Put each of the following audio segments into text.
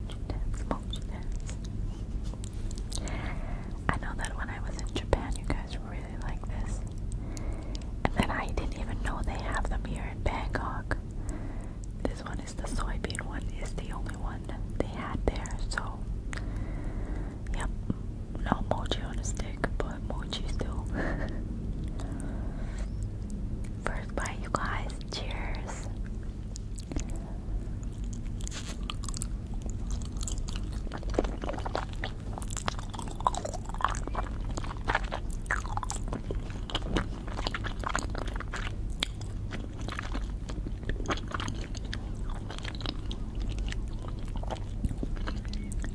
I know that when I was in Japan, you guys really like this. And then I didn't even know they have them here in Bangkok. This one is the soybean one, is the only one they had there. So, yep, no mochi on a stick, but mochi still. First bite, you guys. Cheers.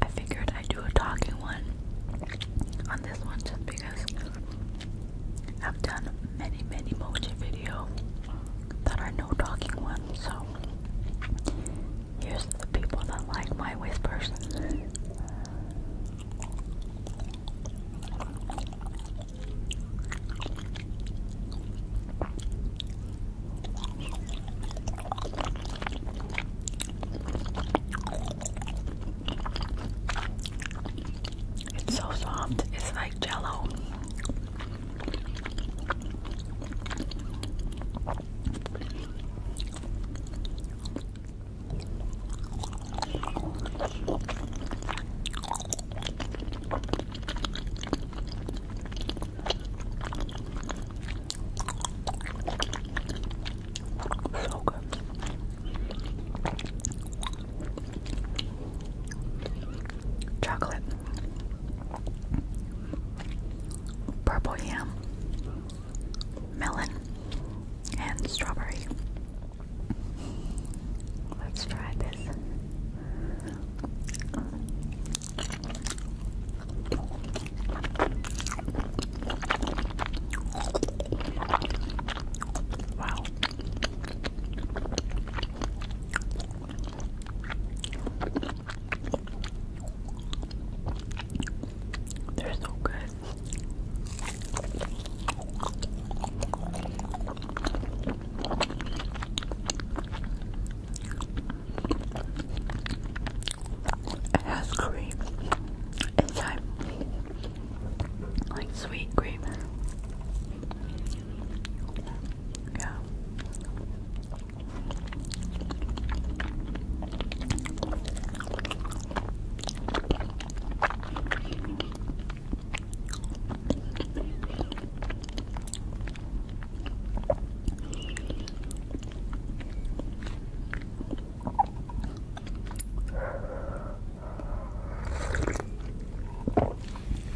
I figured I'd do a talking one on this one just because I've done many, many emoji videos that are no talking ones, so here's the people that like my whispers. It's so soft. It's like jello. So good. Chocolate. Purple yam. Melon. And strawberry. Let's try this. Wow. They're so good. It has cream inside, like sweet cream. Yeah.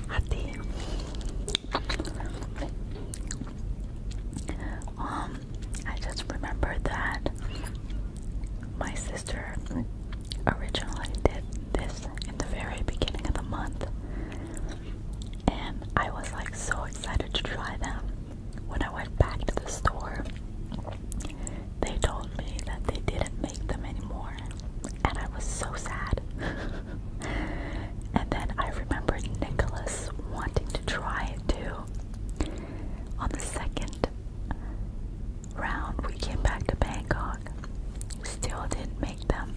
Hati. Um, I just remember that my sister originally did this in the very beginning of the month and I was like so excited to try them. When I went back to the store, they told me that they didn't make them anymore, and I was so sad. and then I remembered Nicholas wanting to try it too. On the second round, we came back to Bangkok, still didn't make them.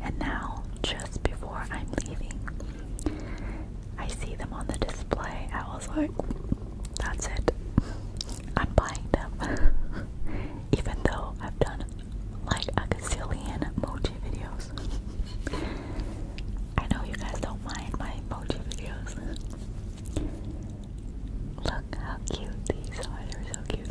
And now, just before I'm leaving, I see them on the display. I was like, that's it. I'm buying them. Even though I've done like a gazillion emoji videos. I know you guys don't mind my emoji videos. Look how cute these are, they're so cute.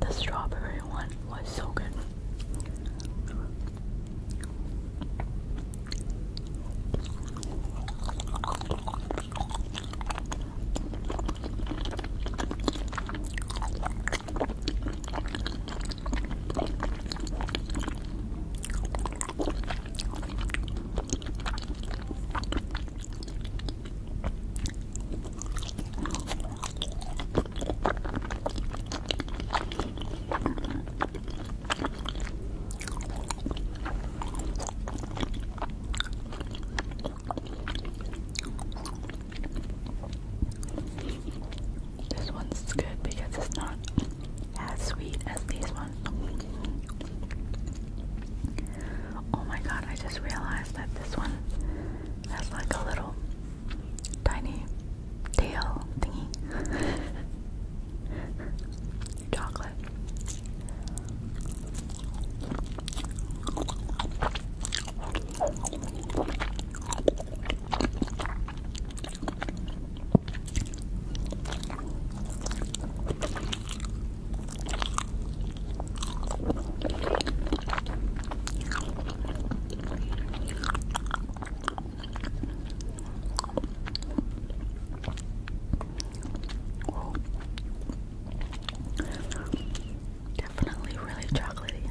The strawberry one was so good. This one's good because it's not as sweet as these ones. Oh my god, I just realized that this one has like a little tiny tail thingy. Chocolate. Whoa. Definitely really chocolatey.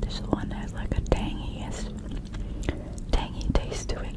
This one has like a tangiest, tangy taste to it.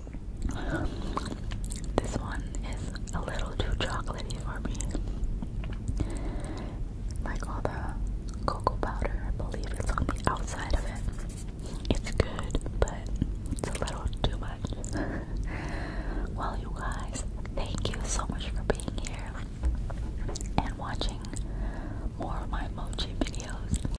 This one is a little too chocolatey for me. Like all the cocoa powder, I believe it's on the outside of it. It's good, but it's a little too much. well, you guys, thank you so much for being here and watching more of my mochi videos.